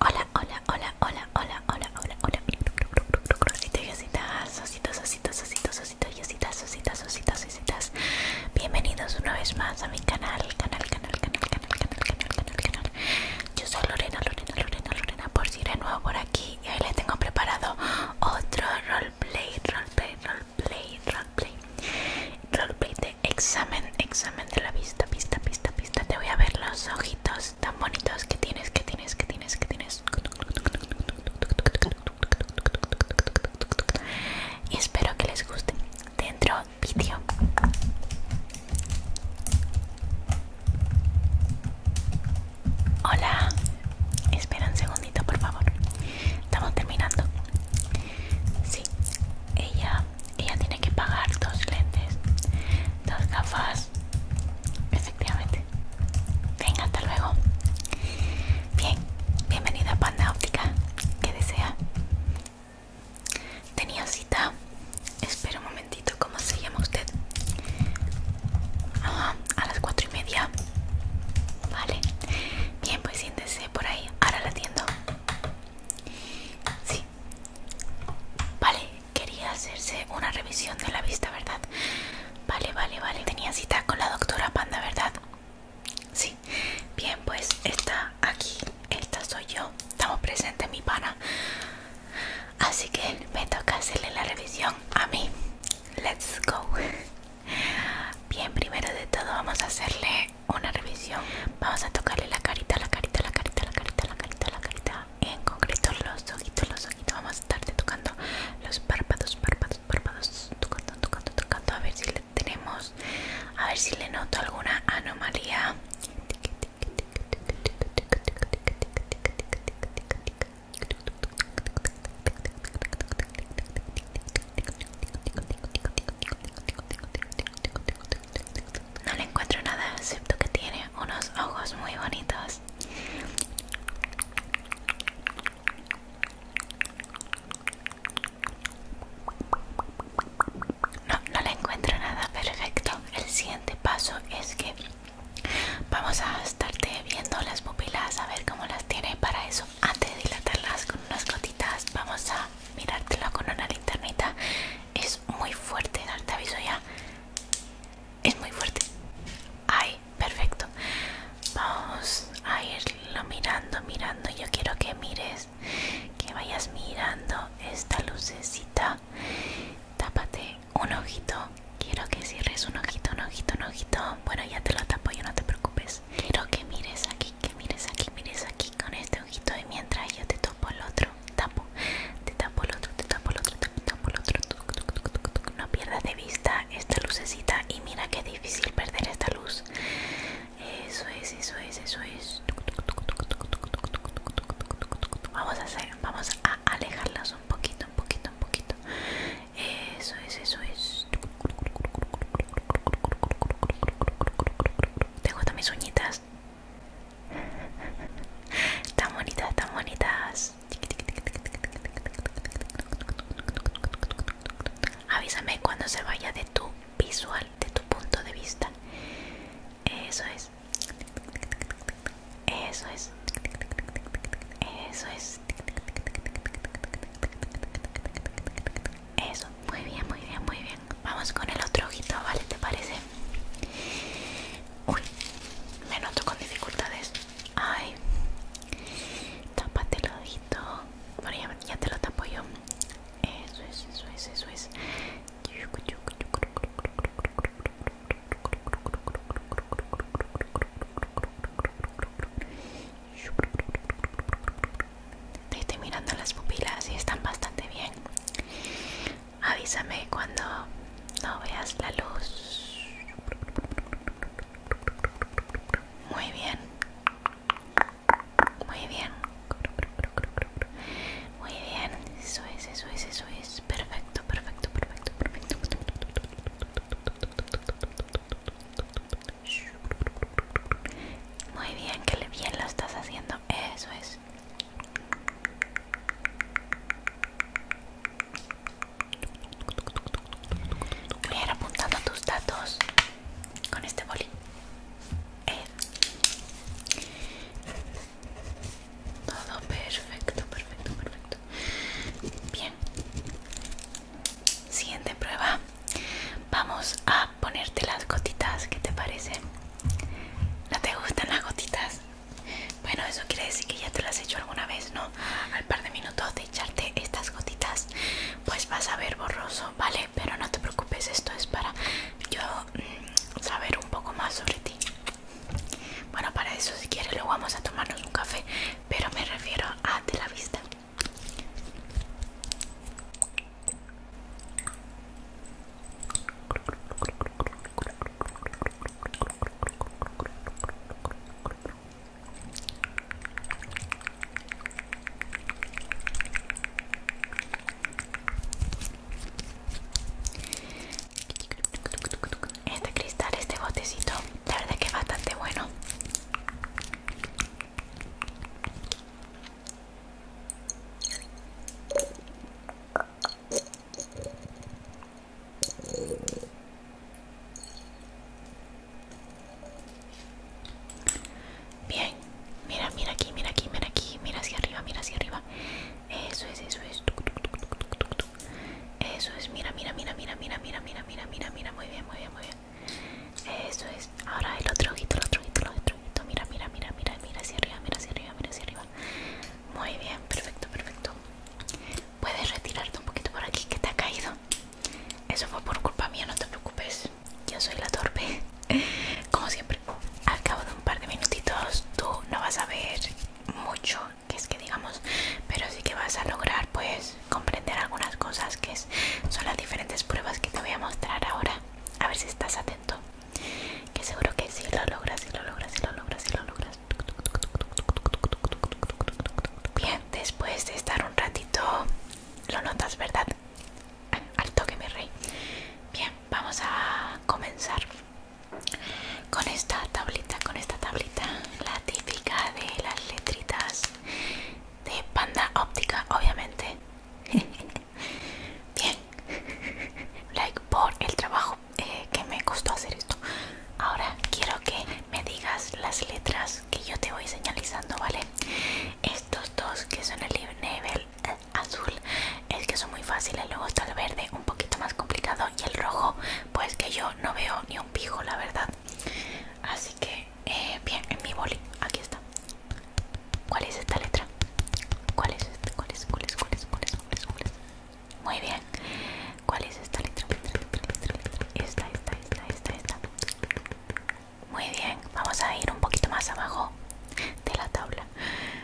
Hola, hola, hola, hola, hola, hola, hola, hola. yositas, Bienvenidos una vez más a mi canal, canal, canal, canal, canal, canal, Yo soy Lorena, Lorena, Lorena, Lorena, por si eres nuevo por aquí. hoy tengo preparado otro roleplay de roleplay, roleplay, roleplay de examen, examen de la vista, vista, vista, vista. Te voy a ver los ojitos tan bonitos que tienes, que tienes, que tienes, que tienes. Y espero que les guste. Dentro vídeo. Hola, espera un segundito por favor. Estamos terminando. Sí, ella, ella tiene que pagar dos lentes, dos gafas, efectivamente. Venga, hasta luego. Bien, bienvenida a Panda Óptica. Que desea? Tenía cita. Espera un momentito, ¿cómo se llama usted? Ah, a las 4 y media Vale, bien pues siéntese por ahí, ahora la atiendo Sí Vale, quería hacerse una revisión de la vista, ¿verdad? Vale, vale, vale, tenía cita con la doctora Panda, ¿verdad? Sí, bien pues está aquí, esta soy yo, estamos presentes mi pana Así que me toca hacerle la revisión a mí Let's go. Bien, primero de todo vamos a hacerle una revisión. Vamos a tocarle la carita, la carita, la carita, la carita, la carita, la carita. En concreto los ojitos, los ojitos. Vamos a estarle tocando los párpados, párpados, párpados. Tocando, tocando, tocando. A ver si le tenemos, a ver si le noto alguna anomalía. No le encuentro nada, excepto que tiene unos ojos muy bonitos. No, no le encuentro nada perfecto. El siguiente paso es que Vamos a estarte viendo las pupilas a ver cómo las tiene. Para eso, antes de dilatarlas con unas gotitas, vamos a mirártelo con una linternita. Es muy fuerte, te aviso ya. Es muy fuerte. Ay, perfecto. Vamos a irlo mirando, mirando. Yo quiero que mires, que vayas mirando esta lucecita. Tápate un ojito. Quiero que cierres un ojito, un ojito, un ojito. Bueno, ya te lo tapo, yo no te preocupes. Quiero que mires aquí, que mires aquí, mires aquí con este ojito. Y mientras yo te topo el otro, tapo, te tapo el otro, te tapo el otro, te tapo el otro. No pierdas de vista esta lucecita. Y mira que difícil perder esta luz. Eso es, eso es, eso es. Vamos a hacer, vamos a alejarlas un poquito, un poquito, un poquito. Eso es, eso es. ¿Te gustan mis uñitas? Tan bonitas, tan bonitas. Avísame cuando se vaya de tu visual, de tu punto de vista. Eso es. Eso es. Eso es. Eso. Muy bien, muy bien, muy bien. Vamos con el otro ojito, ¿vale? ¿Te parece? Uy, me noto con dificultades. Ay. Tápate el ojito. Bueno, ya, ya te lo tapo yo. Eso es, eso es, eso es estoy mirando las pupilas y están bastante bien. Avísame cuando no veas la luz. Muy bien. Muy bien. Muy bien. Eso es, eso es, eso es. Perfecto, perfecto, perfecto, perfecto. Muy bien, que bien lo estás haciendo. Eso es. Voy a ir apuntando tus datos con este boli. Eh. Todo perfecto, perfecto, perfecto. Bien. Siguiente prueba. Vamos a ponerte las gotitas. ¿Qué te parece? ¿No te gustan las gotitas? Bueno, eso quiere decir que ya te las he hecho alguna vez, ¿no? Al par de minutos de echarte estas gotitas, pues vas a ver borroso, ¿vale? Pero no te preocupes, esto es para yo mm, saber un poco más sobre ti. Bueno, para eso si quieres luego vamos a tomarnos un café, pero me refiero a de la vista este cristal, este botecito, la verdad que es bastante bueno. Bien, mira, mira aquí, mira aquí, mira aquí, mira hacia arriba, mira hacia arriba. Eso es, eso es. Eso es, mira, mira, mira, mira, mira, mira, mira, mira, mira, mira, muy bien, muy bien, muy bien. Eso es. Ahora el otro ojito, el otro ojito, el otro ojito. Mira, mira, mira, mira, mira hacia arriba, mira hacia arriba, mira hacia arriba. Muy bien, perfecto, perfecto. Puedes retirarte un poquito por aquí que te ha caído. Eso fue por culpa mía, no te preocupes. Yo soy la torpe. Como siempre, al cabo de un par de minutitos tú no vas a ver mucho que es que digamos pero sí que vas a lograr pues comprender algunas cosas que son las diferentes pruebas que te voy a mostrar ahora a ver si estás atento que seguro que sí lo logras si lo logras si lo logras si lo logras bien después de estar un ratito lo notas verdad al toque mi rey bien vamos a comenzar con esta tablita, con esta tablita, la típica de las letritas de panda óptica, obviamente. Bien, like por el trabajo eh, que me costó hacer esto. Ahora quiero que me digas las letras que yo te voy señalizando, ¿vale? Estos dos que son el nivel eh, azul es que son muy fáciles, luego está el verde un poquito más complicado y el rojo pues que yo no veo ni un pijo la verdad así que eh, bien en mi boli aquí está cuál es esta letra cuál es esta? cuál es cuál es cuál es cuál es, cuál es, cuál es? muy bien cuál es esta letra esta esta esta esta muy bien vamos a ir un poquito más abajo de la tabla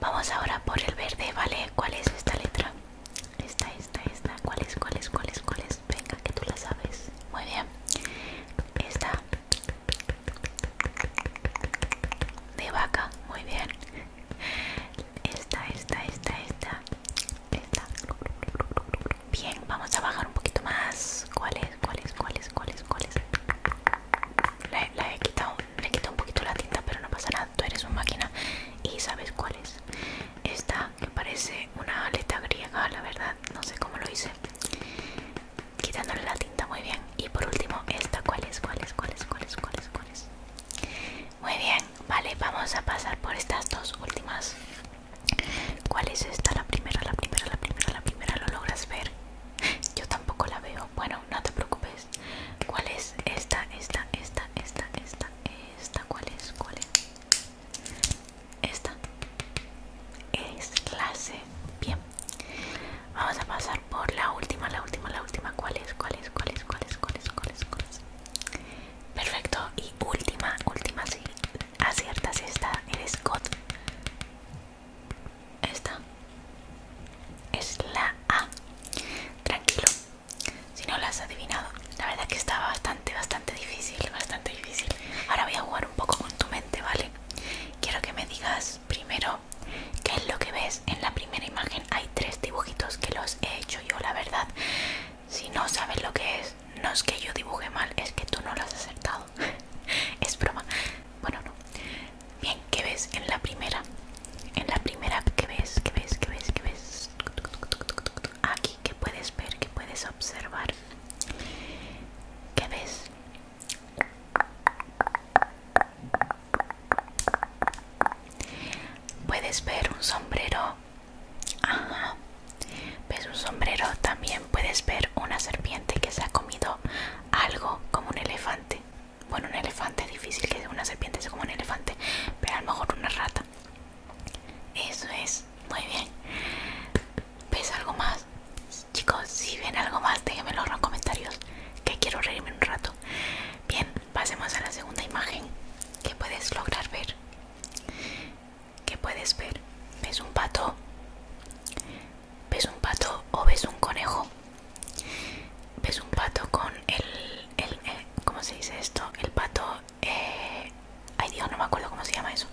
Vamos ahora por el verde, ¿vale? ¿Cuál es esta letra? Esta, esta, esta. ¿Cuál es, cuál es, cuál es, cuál es? Venga, que tú la sabes. Muy bien. Esta. De vaca, muy bien. Esta, esta, esta, esta. Esta. Bien, vamos a bajar un poquito más. ¿Cuál es, cuál es, cuál es, cuál es, cuál es? le he quitado un poquito la tinta, pero no pasa nada, tú eres una máquina y sabes cuál es. Esta que parece una aleta griega, la verdad, no sé cómo lo hice. Quitándole la tinta, muy bien. Y por último, esta, ¿cuál es? ¿Cuál es? ¿Cuál es? ¿Cuál es? ¿Cuál es? ¿Cuál es? Muy bien, vale, vamos a pasar por estas dos últimas. ¿Cuál es esta? La primera, la primera, la primera, la primera, ¿lo logras ver? Yo tampoco la veo. Bueno, no te preocupes, ¿Cuál es? Esta, esta, esta, esta, esta, esta, ¿cuál es? ¿Cuál es? Esta es clase. Bien. Vamos a pasar por la última, la última, la última. ¿Cuál es? ¿Cuál es? ¿Cuál es? ¿Cuál es? ¿Cuál es? ¿Cuál es? Perfecto. Y última, última, sí. Aciertas esta. Eres God. Esta es la A. Tranquilo, si no la has adivinado. La verdad que está bastante, bastante difícil, bastante difícil. Ahora voy a jugar un poco con tu mente, ¿vale? Quiero que me digas primero qué es lo que ves en la primera imagen. Hay tres dibujitos que los he hecho yo, la verdad. Si no sabes lo que es, no es que yo dibuje mal, es que tú no lo has acertado. es broma. Bueno, no. Bien, ¿qué ves en la primera? En la primera, ¿qué ves? ¿Qué ves? ¿Qué ves? ¿Qué ves? Aquí, ¿qué puedes ver? ¿Qué puedes observar? ¿Qué ves? Puedes ver un sombrero. Ajá. Ves un sombrero. También puedes ver una serpiente que se ha comido algo como un elefante bueno un elefante es difícil que una serpiente sea como un elefante pero a lo mejor una rata eso es muy bien ves algo más chicos si ven algo más déjenmelo en los comentarios que quiero reírme un rato bien pasemos a la segunda imagen ¿Qué puedes lograr ver ¿Qué puedes ver ves un pato ves un pato o ves un conejo ves un pato con el, eh, ¿cómo se dice esto? el pato eh, ay Dios no me acuerdo cómo se llama eso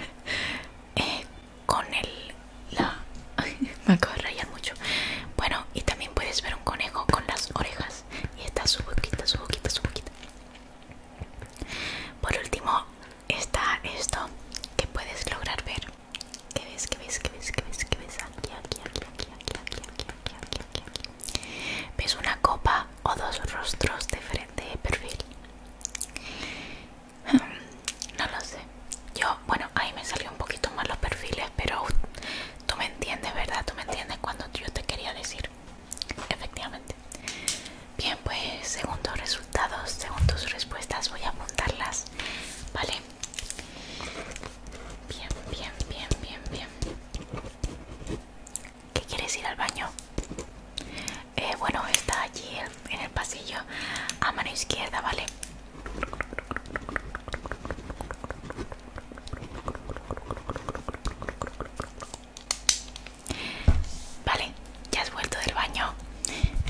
eh, con el la me acabo de rayar mucho bueno y también puedes ver un conejo con las orejas y está su boquita su boquita su boquita por último está esto que puedes lograr ver ¿Qué ves? ¿Qué ves? ves? ¿Qué ves? Aquí, aquí, aquí, aquí, aquí, aquí, aquí, aquí, aquí, ¿Ves una copa o dos rostros de frente de perfil? No lo sé. Yo, bueno, ahí me salió un poquito más los perfiles, pero tú me entiendes, ¿verdad? Tú me entiendes cuando yo te quería decir. Efectivamente. Bien, pues segundo resultado según tus respuestas voy a apuntarlas, ¿vale? Bien, bien, bien, bien, bien. ¿Qué quieres ir al baño? Eh, bueno, está allí en el pasillo a mano izquierda, ¿vale? Vale, ya has vuelto del baño.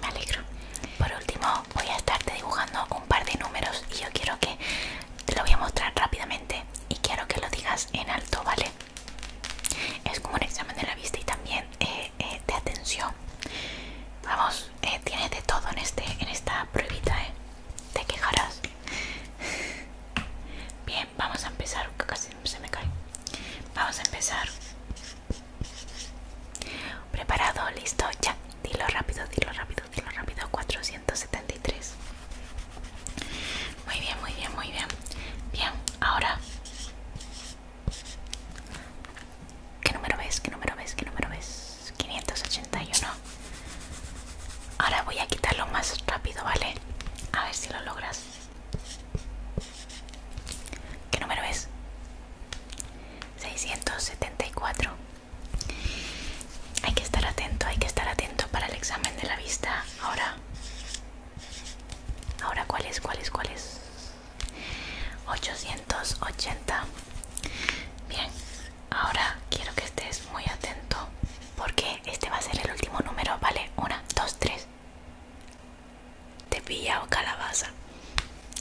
Me alegro. Por último, voy a estarte dibujando un par de números y yo quiero que te lo voy a mostrar rápidamente y quiero que lo digas en alto, ¿vale? Es como un examen de la vista y también eh, eh, de atención. Vamos, eh, tienes de todo en este, en esta pruebita, ¿eh? Te quejarás. Bien, vamos a empezar. Casi se me cae. Vamos a empezar Preparado, listo, ya. Dilo rápido, dilo rápido, dilo rápido. 473. Muy bien, muy bien, muy bien. Bien, ahora. ¿Qué número ves? ¿Qué número ves? ¿Qué número ves? 581. Ahora voy a quitarlo más rápido, ¿vale? A ver si lo logras. ¿Qué número ves? 674 hay que estar atento hay que estar atento para el examen de la vista ahora ahora cuál es cuál es cuál es 880 bien ahora quiero que estés muy atento porque este va a ser el último número vale 1 2 3 te o calabaza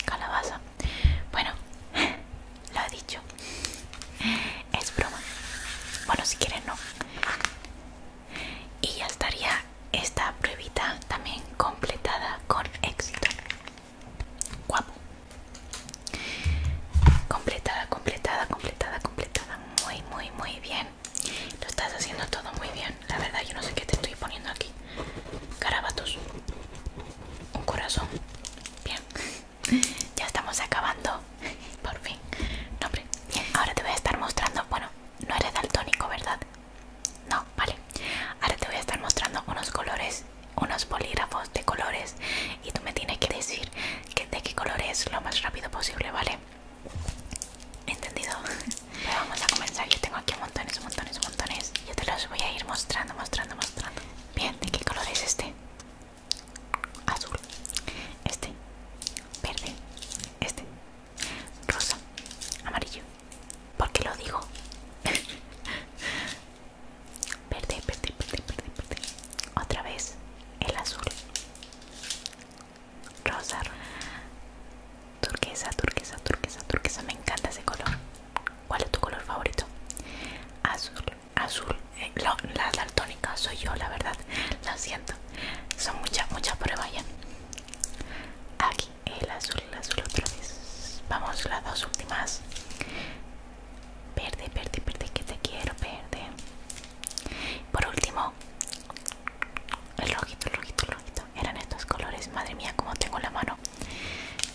calabaza bueno lo he dicho es broma bueno si quieren no y ya estaría esta pruebita también completada con éxito guapo completada completada completada completada muy muy muy bien lo estás haciendo todo muy bien la verdad yo no sé qué te estoy poniendo aquí. Carabatos. Un corazón. Bien. Ya estamos acabando. Por fin. No, hombre. ahora te voy a estar mostrando... Bueno, no eres daltónico, ¿verdad? No, vale. Ahora te voy a estar mostrando unos colores, unos polígrafos de colores. Y tú me tienes que decir de qué color es lo más rápido posible, ¿vale? ¿Entendido? vamos a comenzar, yo tengo aquí montones, montones, montones Yo te los voy a ir mostrando, mostrando, mostrando Bien, ¿de qué color es este? Azul Este Verde Este Rosa Amarillo ¿Por qué lo digo? verde, verde, verde, verde, verde Otra vez El azul rosa, turquesa, turquesa, turquesa, turquesa. Me encanta ese color. ¿Cuál es tu color favorito? Azul, azul. Eh, la daltónica soy yo, la verdad. Lo siento. Son muchas, muchas pruebas ya. Aquí el azul, el azul otra vez. Vamos las dos últimas. Verde, verde, verde, que te quiero, verde. Por último, el rojito, el rojito, el rojito. Eran estos colores. Madre mía, como tengo la mano.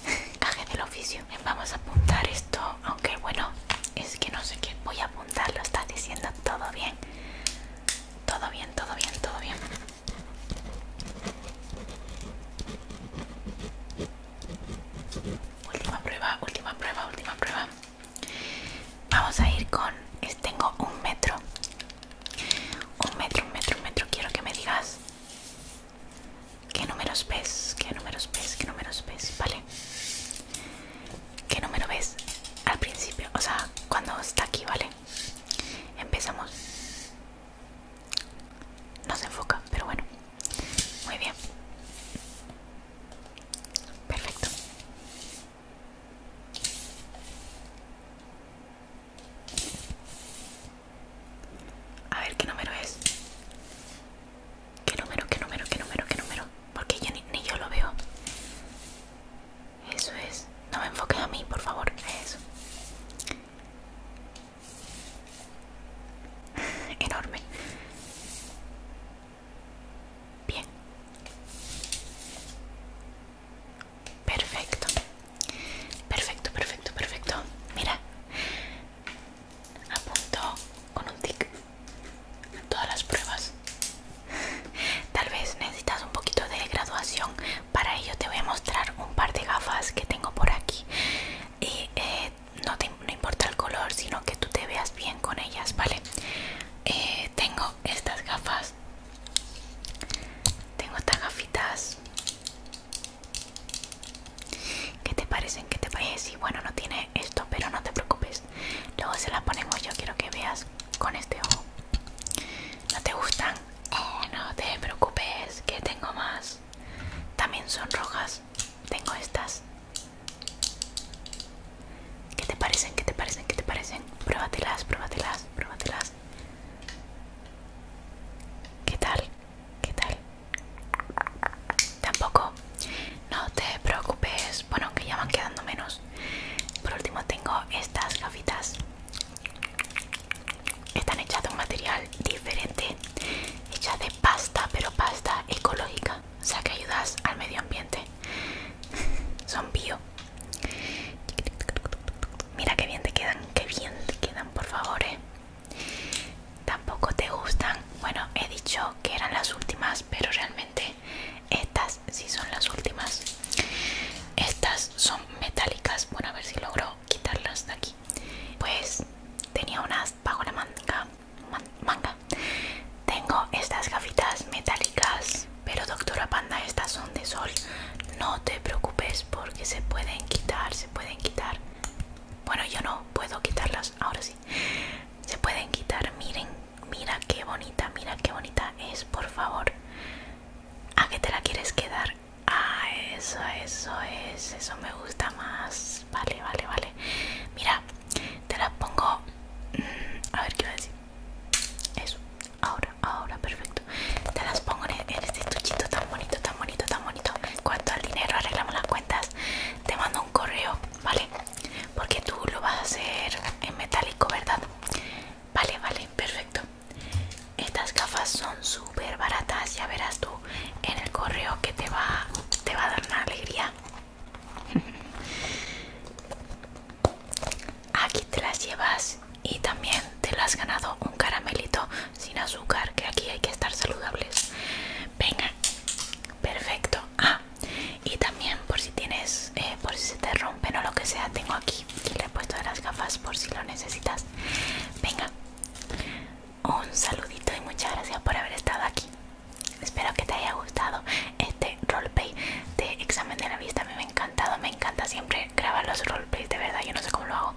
Caje del oficio. Vamos a apuntar esto. Aunque bueno, es que no sé qué. Voy a apuntarlo. Estás diciendo todo bien. Todo bien, todo bien, todo bien. Última prueba, última prueba, última prueba. Vamos a ir con. Es, tengo un metro. Un metro, un metro, un metro. Quiero que me digas qué números ves, qué números ves, qué números ves, ¿vale? ¿Qué número ves al principio? O sea, cuando está aquí, ¿vale? Empezamos. No se enfoca, pero bueno. Muy bien. Perfecto. A ver qué número es. ¿Qué número, qué número, qué número, qué número? Porque ni, yo lo veo. Eso es. No me enfoques a mí, por favor. Eso. Enorme. Bien. Perfecto. Perfecto, perfecto, perfecto. Mira. Apunto con un tic todas las pruebas. Tal vez necesitas un poquito de graduación. Para ello te voy a mostrar un par de gafas que tengo por aquí. Y eh, no, te, importa el color, sino que tú te veas bien con ellas, ¿vale? Eh, tengo estas gafas tengo estas gafitas ¿Qué te parecen? ¿Qué te parece? Y bueno, no tiene esto, pero no te preocupes. Luego se las ponemos. Yo quiero que veas con este ojo. ¿No te gustan? Eh, no te preocupes, que tengo más. También son rojas. Tengo estas. ¿Qué te parecen? ¿Qué te parecen? ¿Qué te parecen? Pruébatelas, pruébatelas, pruébatelas. ¿Qué tal? ¿Qué tal? Tampoco. No te preocupes. Bueno, aunque ya van quedando menos. Por último tengo estas gafitas. Están hechas de un material diferente. Hechas de pasta, pero pasta ecológica. O sea que ayudas al medio ambiente. Son bio. Mira qué bien te quedan, qué bien te quedan, por favor. Eh. Tampoco te gustan. Bueno, he dicho que eran las últimas, pero realmente estas sí son las últimas. Estas son metálicas. Bueno, a ver si logro quitarlas de aquí. Pues tenía unas bajo la manga, manga tengo estas gafitas metálicas, pero doctora Panda, estas son de sol. No te preocupes porque se pueden quitar, se pueden quitar. Bueno, yo no puedo quitarlas, ahora sí. Se pueden quitar, miren, mira qué bonita, mira qué bonita es, por favor. ¿A qué te la quieres quedar? Ah, eso, eso es, eso me gusta más. Vale, vale, vale. Mira, te la pongo... Mm, a ver qué iba a decir. Eso, ahora, ahora, perfecto. Te las pongo en, este estuchito tan bonito, tan bonito, tan bonito. cuanto al dinero, arreglamos las cuentas. Te mando un correo, ¿vale? Porque tú lo vas a hacer en metálico, ¿verdad? Vale, vale, perfecto. Estas gafas son súper baratas, ya verás tú en el correo que te va, te va a dar una alegría. Aquí te las llevas y también te las has ganado un caramelito sin azúcar, que aquí hay que estar saludables. Venga, perfecto. Ah, y también por si tienes, eh, por si se te rompen o lo que sea, tengo aquí. Y le he puesto de las gafas por si lo necesitas. Venga, un saludito y muchas gracias por haber estado aquí. Espero que te haya gustado gustado este roleplay de examen de la vista. Me, ha encantado, me encanta siempre grabar los roleplays, de verdad, yo no sé cómo lo hago.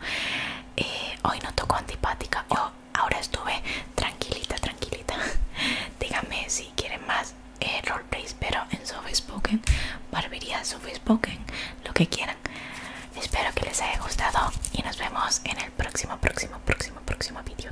Eh, hoy no tocó antipática, yo ahora estuve tranquilita, tranquilita. Díganme si quieren más eh, roleplays, pero en soft spoken, barbería soft spoken, lo que quieran. Espero que les haya gustado y nos vemos en el próximo, próximo, próximo, próximo vídeo.